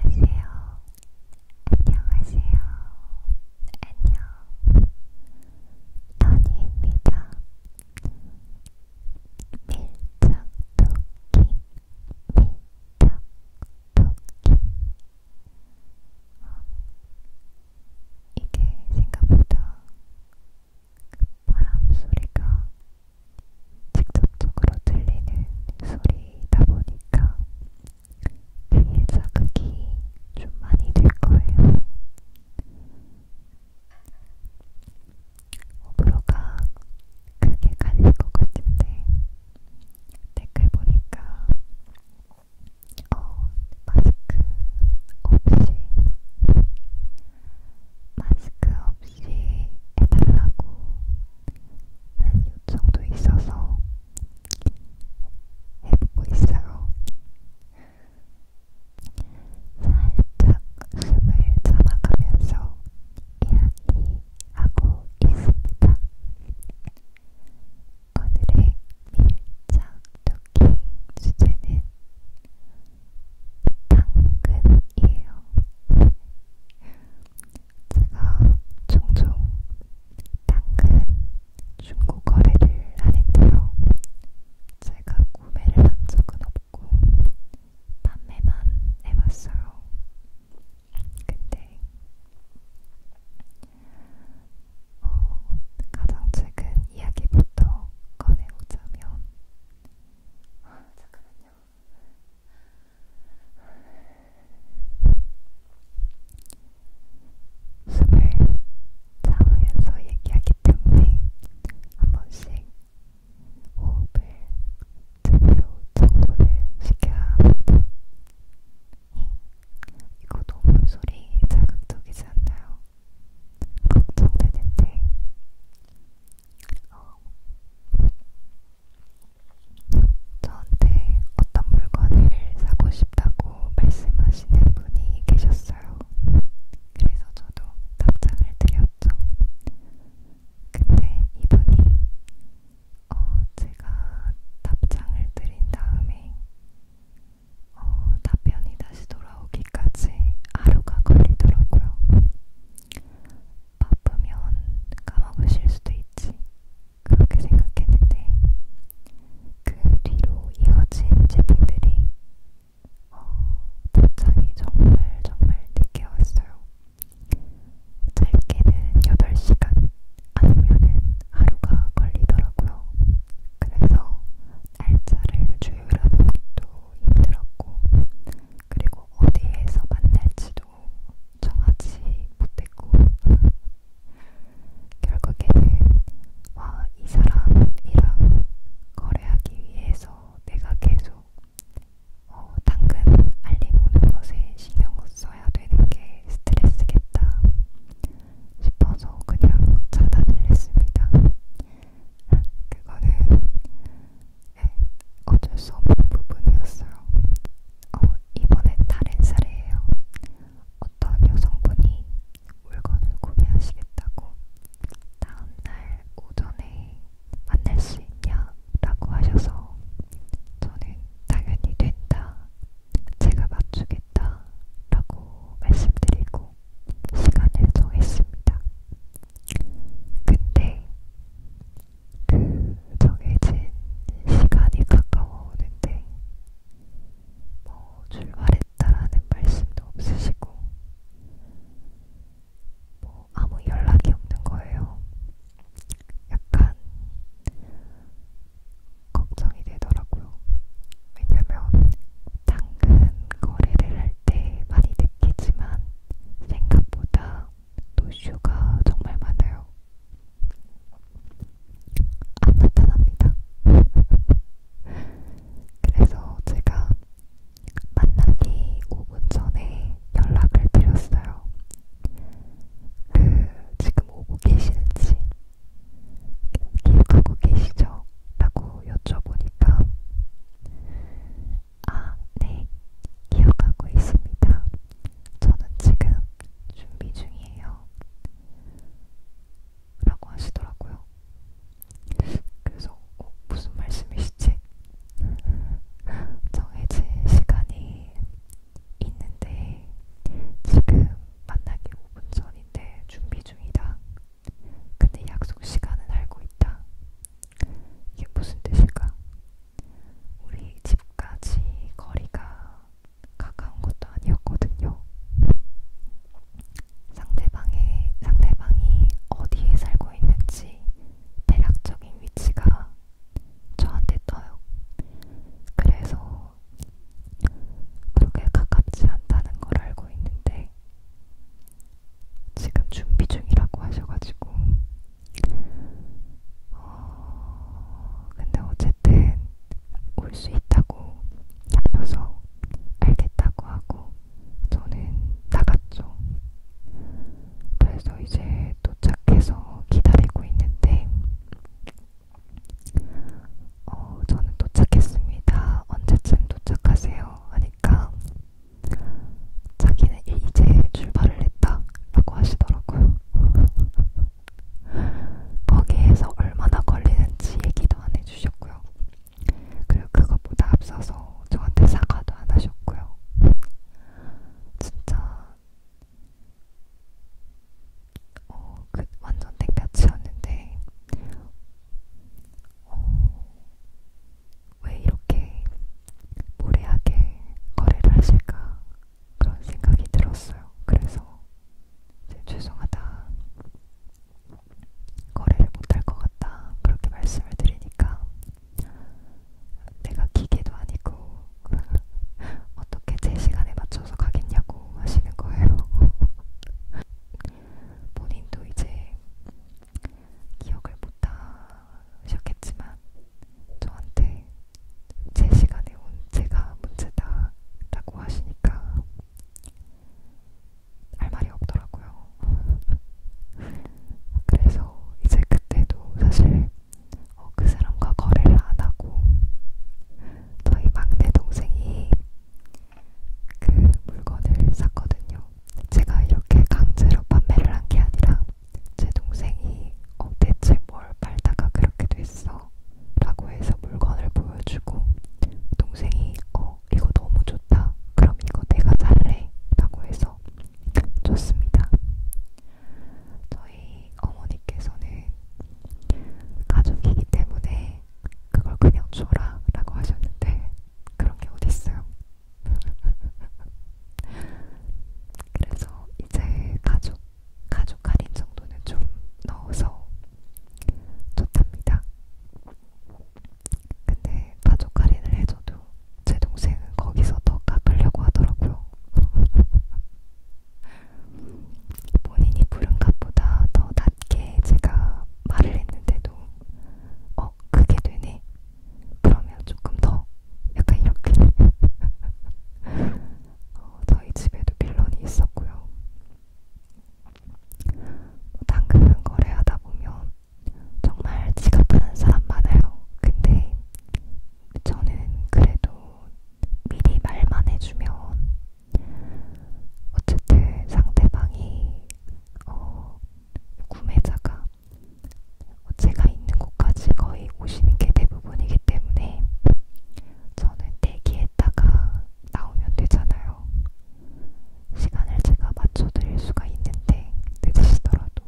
안녕하세요. 안녕하세요. 안녕. 다니입니다. 밀착 토킹. 밀착 토킹. 어, 이게 생각보다 바람 소리가 직접적으로 들리는 소리이다 보니까 귀에 자극이 좀 많이 될 거예요. 오브로가 크게 갈릴 것 같은데 댓글 보니까 어 마스크 없이 마스크 없이 해달라고 하는 요청도 있어서 해보고 있어요. 살짝 숨을 참아가면서 이야기하고 있습니다. 오늘의 밀착 토킹 주제는 당근이에요. 제가 종종 당근 중고 거래를 안 했고요. 제가 구매를 한 적은 없고 판매만 해봤어요. 근데 어, 가장 최근 이야기부터 꺼내오자면 아, 잠깐만요. 숨을 참으면서 얘기하기 때문에 한 번씩 호흡을 제대로 정돈을 시켜야 합니다. 이거 너무 소리 자극적이지 않나요? 걱정되는데 어, 저한테 어떤 물건을 사고 싶다고 말씀하시는 분이 계셨어요. 그래서 저도 답장을 드렸죠. 근데 이분이 어, 제가 답장을 드린 다음에 어, 답변이 다시 돌아 돌아오기까지 하루가 걸리더라고요. 바쁘면 까먹으실 수도 있지. 그렇게 생각했는데 그 뒤로 이어진 제품들이 어, 도착이 정말 정말 늦게 왔어요. 짧게는 8시간, 아니면은 하루가 걸리더라고요. 그래서 날짜를 조율하는 것도 힘들었고 그리고 어디에서 만날지도 정하지 못했고 결국에는 와, 이 사람이랑 거래하기 위해서 내가 계속 어, 당근 알림 오는 것에 신경 써야 되는 게 스트레스겠다 싶어서 그냥 차단을 했습니다. 그거는 네, 어쩔 수 없는 부분이었어요. 어, 이번엔 다른 사례예요. 어떤 여성분이 물건을 구매하시겠다고 다음날 오전에 만날 수 있냐라고 하셔서 저는 당연히 된다, 제가 맞추겠다라고 말씀드리고 하기로 시간을 정했습니다. 근데 그 정해진 시간이 가까워오는데 뭐 출발했다라는 말씀도 없으시고 뭐 아무 연락이 없는 거예요. 약간 걱정이 되더라고요. 왜냐면 당근 거래를 할 때 많이 느끼지만 생각보다 노쇼가 정말 많아요. 안 나타납니다. 그래서 제가 만나기 5분 전에 연락을 드렸어요. 그 지금 오고 계실지 기억하고 계시죠? 라고 여쭤보니까 아, 네, 기억하고 있습니다. 저는 지금 준비 중이에요. 라고 하시더라고요. 그래서 어, 무슨 말씀이시지? 정해진 시간이 있는데 지금 만나기 5분 전인데 준비 중이다. 근데 약속 시간은 알고 있다. 이게 무슨 뜻일까? 우리 집까지 거리가 가까운 것도 아니었거든요. 상대방의, 상대방이 어디에 살고 있는지 대략적인 위치가 저한테 떠요. 그래서 그렇게 가깝지 않다는 걸 알고 있는데 지금 준비 중이라고 하셔가지고 어, 근데 어쨌든 올 수 있다고 하셔서 알겠다고 하고 저는 나갔죠. 그래서 이제 도착해서 기다리고 있는데 어, 저는 도착했습니다. 언제쯤 도착하세요? 하니까 자기는 이제 출발을 했다 라고 하시더라고요. 거기에서 얼마나 걸리는지 얘기도 안 해주셨고요. 그리고 그것보다 앞서서 저한테 사과도 안 하셨고요. 진짜 어, 그 완전 땡볕이었는데 어, 왜 이렇게 무례하게 거래를 하실까 그런 생각이 들었어요. 그래서 이제 죄송하다. 거래를 못할 것 같다. 그렇게 말씀을 드리니까 내가 기계도 아니고 어떻게 제 시간에 맞춰서 가겠냐고 하시는 거예요. 본인도 이제 기억을 못하셨겠지만 저한테 제 시간에 온 제가 문제다 라고 하시니까 할 말이 없더라고요. 그래서 이제 그때도 사실 어, 그 사람과 거래를 안 하고 저희 막내 동생이 그 물건을 샀거든요. 제가 이렇게 강제로 판매를 한 게 아니라 제 동생이 어, 대체 뭘 팔다가 그렇게 됐어? 라고 해서 물건을 보여주고 동생이 어, 이거 너무 좋다. 그럼 이거 내가 잘래. 라고 해서 좋습니다. 저희 어머니께서는 가족이기 때문에 했는데 그걸 그냥 줘라 라고 하셨는데 그런 게 어딨어요. 그래서 이제 가족, 가족 할인 정도는 좀 넣어서 좋답니다. 근데 가족 할인을 해줘도 제 동생은 거기서 더 깎으려고 하더라고요. 본인이 부른 값보다 더 맞게 제가 말을 했는데도 어 그게 되네 그러면 조금 더 약간 이렇게 어, 저희 집에도 빌런이 있었고요. 뭐 당근 거래하다 보면 정말 지갑하는 사람 많아요. 근데 저는 그래도 미리 말만 해주면 어쨌든 상대방이 어, 구매자가 제가 있는 곳까지 거의 오시는 게 대부분이기 때문에 저는 대기했다가 나오면 되잖아요. 시간을 제가 맞춰드릴 수가 있는데 늦으시더라도.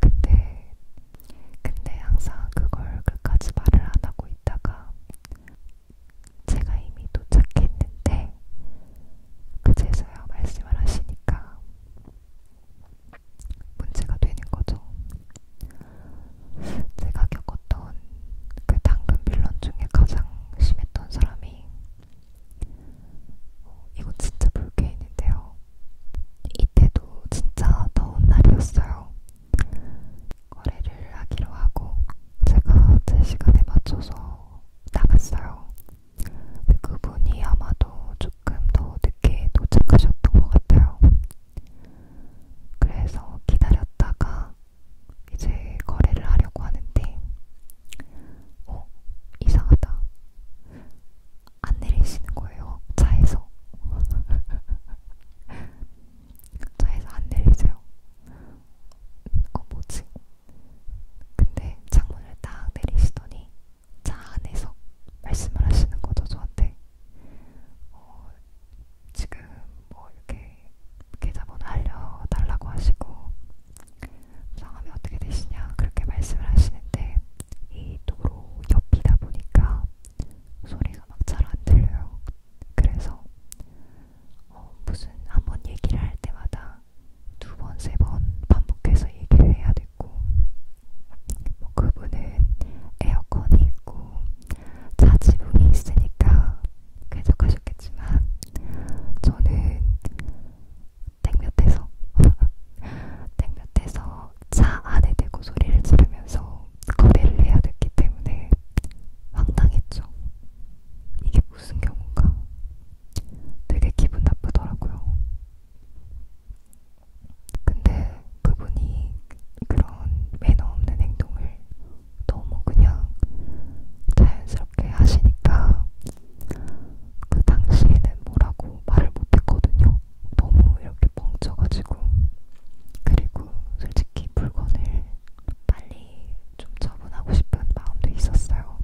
근데 근데 항상 그걸 끝까지 말을 안 하고 있다가 제가 이미 도착했는데 그제서야 말씀을 하시니까 문제가 되는 거죠. 제가 겪었던 그 당근 빌런 중에 가장 심했던 사람이 어, 이건 진짜 불쾌했는데요. 이때도 진짜 더운 날이었어요. 거래를 하기로 하고 제가 제 시간에 맞춰서 나갔어요. 그분이 아마도 조금 더 늦게 도착하셨던 것 같아요. 그래서 기다렸다가 이제 거래를 하려고 하는데, 어, 이상하다. 안 내리시는 거예요, 차에서. 차에서 안 내리세요. 어 뭐지? 근데 창문을 딱 내리시더니 차 안에서 말씀을 하시는 거죠 저한테. 어, 지금 뭐 이렇게 계좌번호 알려달라고 하시고 성함이 어떻게 되시냐 그렇게 말씀을 하시는데 이 도로 옆이다 보니까 소리가 막 잘 안 들려요. 그래서 어, 무슨 한 번 얘기를 할 때마다 두 번, 세 번 반복해서 얘기를 해야 됐고, 뭐 그분은 에어컨이 있고 자지붕이 있으니까 쾌적하셨겠지만, 저는 땡볕에서 땡볕에서 차 안에 대고 소리를 지르면서 거래를 해야 됐기 때문에 황당했죠. 이게 무슨 경우인가? 되게 기분 나쁘더라고요. 근데 그분이 그런 매너 없는 행동을 너무 그냥 자연스럽게 하시니까 그 당시에는 뭐라고 말을 못했거든요. 너무 이렇게 멍쳐가지고. 그리고 솔직히 물건을 빨리 좀 처분하고 싶은 마음도 있었어요.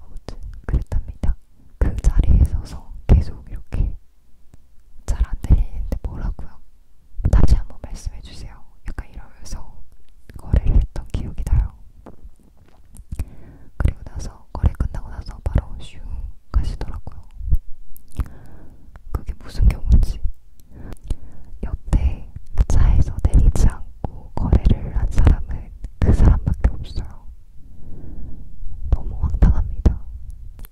아무튼 그랬답니다. 그 자리에 서서 계속 이렇게 잘 안 들리는데 뭐라고요? 다시 한번 말씀해 주세요. 약간 이러면서 거래를 했던 기억이 나요. 그리고 나서 거래 끝나고 나서 바로 슝 가시더라고요. 그게 무슨 경우인지 여태 차에서 내리지 않고 거래를 한 사람은 그 사람밖에 없어요. 너무 황당합니다.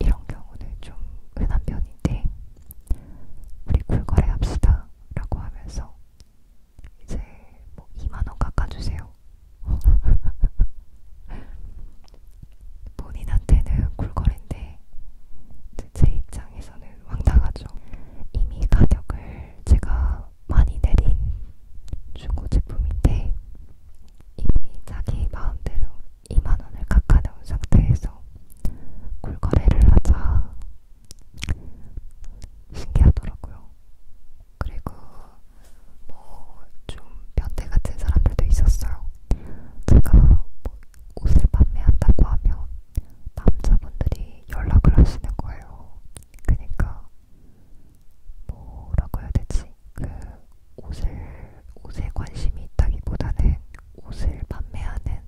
이런 경우는 좀 흔한 편인데 우리 굴거래합시다 라고 하면서 이제 뭐 2만원 깎아주세요. 본인한테는 꿀거리인데 제 입장에서는 황당하죠. 이미 가격을 제가 많이 내린 중고 제품인데 이미 자기 마음대로 2만원을 깎아놓은 상태에서 꿀거래를 하자 신기하더라고요. 그리고 뭐 좀 변태 같은 사람들도 있었어요. 제가 뭐 옷을 판매한다고 하면 남자분들이 연락을 하시는 거예요. 그러니까 뭐라고 해야 되지? 그 옷을 옷에 관심이 있다기보다는 옷을 판매하는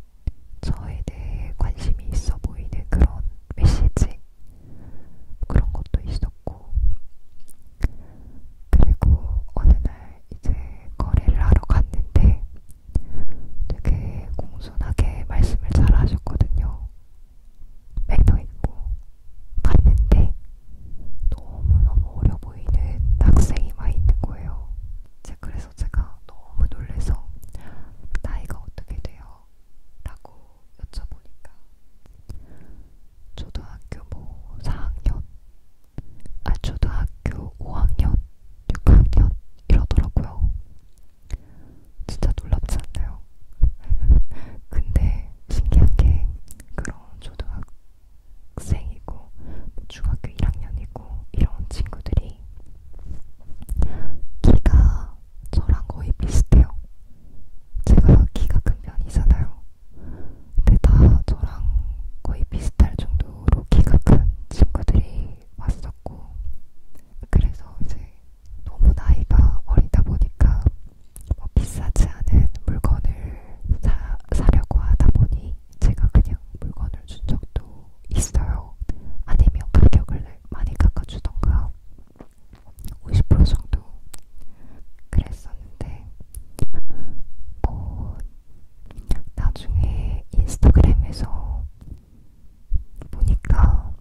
저에 대해 관심이 있어 보이는 그런 메시지 그런 것도 있었고 그리고 어느 날 이제 거래를 하러 갔는데 되게 공손하게 말씀을 잘 하셨거든요. 매너 있고 갔는데 너무너무 어려 보이는 학생이 와 있는 거예요. 제 그래서 제가 너무 놀래서 나이가 어떻게 돼요? 라고 여쭤보니까 초등학교 뭐 4학년 아, 초등학교 5학년, 6학년 이러더라고요. 진짜 놀랍지 않나요? 근데 신기한 게 그런 초등학생이고 뭐 중학교 1학년이고 이런 친구들이 키가 저랑 거의 비슷해요. 제가 키가 큰 편이잖아요. 근데 다 저랑 거의 비슷할 정도로 키가 큰 친구들이 왔었고 그래서 이제 너무 나이가 어리다 보니까 뭐 비싸지 않은 물건을 사, 사려고 하다 보니 제가 그냥 물건을 준 적도 있어요. 아니면 가격을 많이 깎아주던가 50% 정도 그랬었는데 뭐 나중에 인스타그램에서 보니까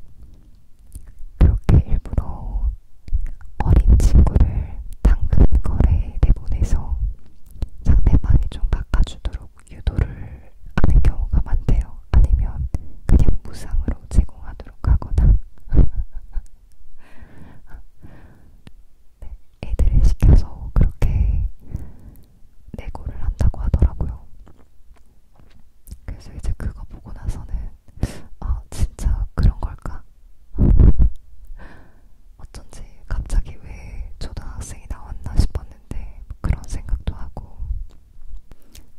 그렇게 일부러 어린 친구를 당근 거래에 내보내서 상대방이 좀 깎아주도록 유도를 하는 경우가 많대요. 아니면 그냥 무상으로 제공하도록 하거나 네, 애들을 시켜서 그렇게 내고를 한다고 하더라고요. 그래서 이제 그거 보고 나서는 아 진짜 그런 걸까? 어쩐지 갑자기 왜 초등학생이 나왔나 싶었는데 그런 생각도 하고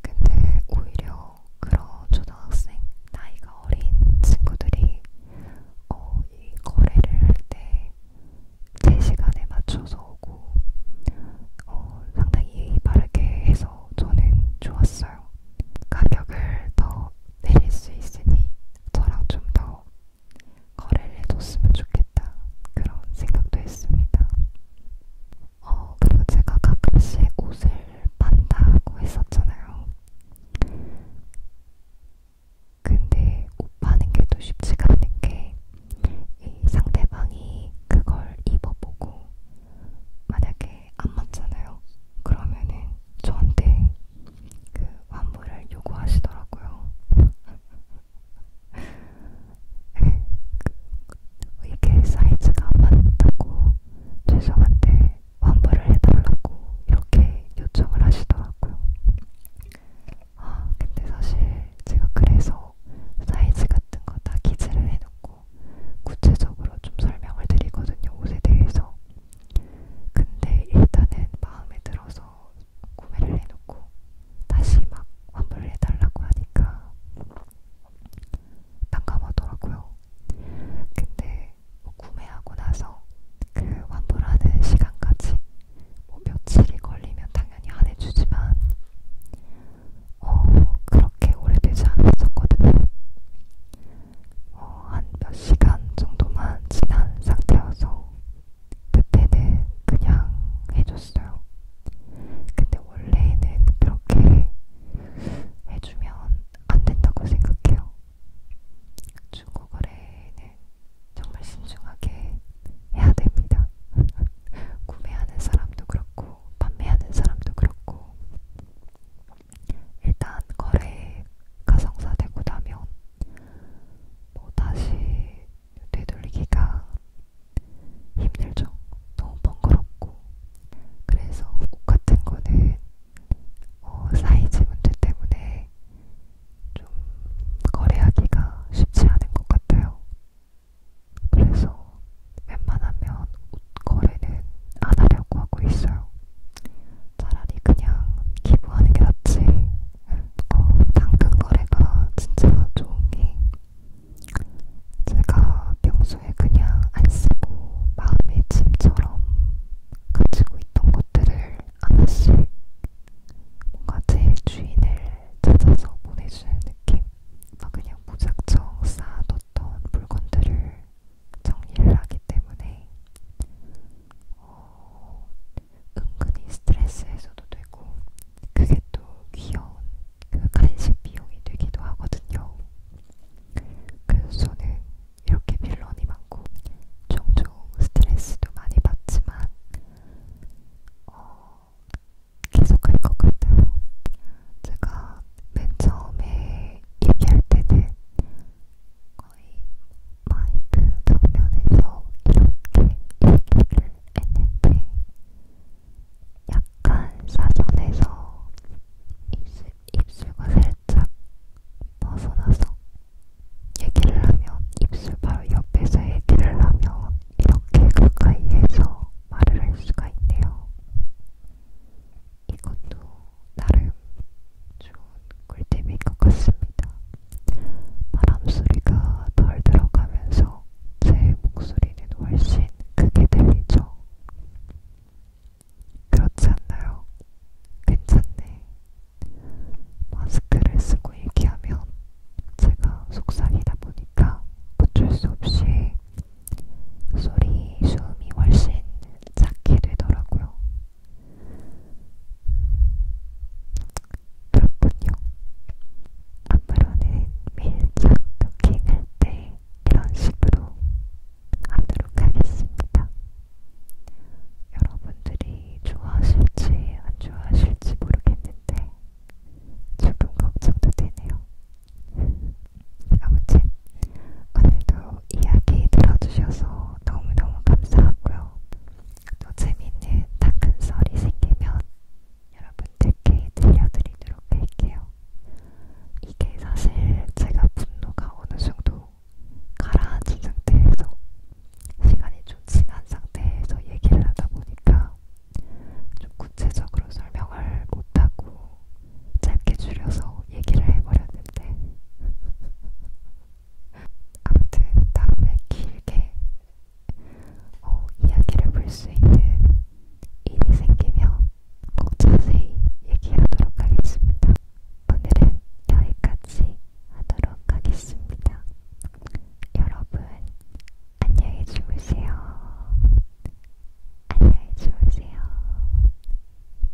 근데 오히려 그런 초등학생 나이가 어린 친구들이 어, 이 거래를 할 때 제 시간에 맞춰서 오고 어, 상당히 예의 바르게 해서 저는 좋았어요. 가격을 더 내릴 수 있으니 저랑 좀 더 거래를 해줬으면 좋겠다 그런 생각도 했습니다. 어, 그리고 제가 가끔씩 옷을 판다고 했었잖아요. 근데 오빠는 게 또 쉽지가 않은 게 이 상대방이 그걸 입어보고 만약에 안 맞잖아요. 그러면은 저한테 그 환불을 요구하시더라고요. 이게 사이즈가 안 맞다고 죄송한데 환불을 해달라고 이렇게 요청을 하시더라고요. 아, 근데 사실 제가 그래서 사이즈 같은 거 다 기재를 해놓고 구체적으로 좀 설명을 드리거든요, 옷에 대해서. 근데 일단은 마음에 들어서 구매를 해놓고 다시 막 환불을 해달라고 하니까 난감하더라고요. 근데 뭐 구매하고 나서 그 환불하는 시간까지 뭐 며칠이 걸리면 당연히 안 해주지만 어 그렇게 오래되지 않았었거든요. 어, 한 몇 시간 정도만 지난 상태여서 그때는 그냥 해줬어요. 근데 원래는 그렇게 해주면 안 된다고 생각해요. 중고거래는 정말 신중하게 해야 됩니다. 구매하는 사람도 그렇고, 판매하는 사람도 그렇고, 일단 거래 가성사 되고 나면 뭐 다시 되돌리기가 힘들죠. 너무 번거롭고. 그래서 옷 같은 거는 어, 사이즈 문제 때문에 좀 거래하기가 쉽지 않은 것 같아요. 그래서 웬만하면 옷 거래는 안 하려고 하고 있어요. 차라리 그냥 기부하는 게 낫지. 어, 당근 거래가 진짜 좋은 게 제가 평소에 그냥 안 쓰고 마음의 짐처럼 가지고 있던 것들을 하나씩 뭔가 제 주인을 찾아서 보내주는 느낌? 막 그냥 무작정 쌓아뒀던 물건들을 정리를 하기 때문에 어, 은근히 스트레스 해소도 되고 그게 또 귀여운 그 간식 비용이 되기도 하거든요. 그래서 저는 이렇게 빌런이 많고 종종 스트레스도 많이 받지만 어, 계속할 것 같아요. 제가 맨 처음에 얘기할 때는 거의 마이크 정면에서 이렇게 얘기를 했는데 약간 사전에서 입술, 입술과 살짝 벗어나서 얘기를 하면 입술 바로 옆에서 얘기를 하면 이렇게 가까이에서 말을 할 수가 있네요. 이것도 나름 좋은 꿀팁인 것 같습니다. 바람소리가 덜 들어가면서 제 목소리는 훨씬 크게 들리죠. 그렇지 않나요? 괜찮네. 마스크를 쓰고 얘기하면 제가 속삭이다 보니까 어쩔 수 없이 소리, 숨이 훨씬 작게 되더라고요. 그렇군요. 앞으로는 매일 짝 토킹할 때 이런 식으로 하도록 하겠습니다. 여러분들이 좋아하실지 안 좋아하실지 모르겠는데 조금 걱정도 되네요. 아무튼 오늘도 이야기 들어주셔서 너무너무 감사하고요. 또 재미있는 다큰썰이 생기면 여러분들께 들려드리도록 할게요. 이게 사실 제가 분노가 어느 정도 또 가라앉은 상태에서 시간이 좀 지난 상태에서 얘기를 하다 보니까 좀 구체적으로 설명을 못하고 짧게 줄여서 얘기를 해버렸는데 아무튼 다음에 길게 어, 이야기를 볼 수 있는 일이 생기면 꼭 자세히 얘기하도록 하겠습니다. 오늘은 여기까지 하도록 하겠습니다. 여러분, 안녕히 주무세요. 안녕히 주무세요.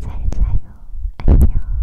잘 자요. 안녕. 안녕.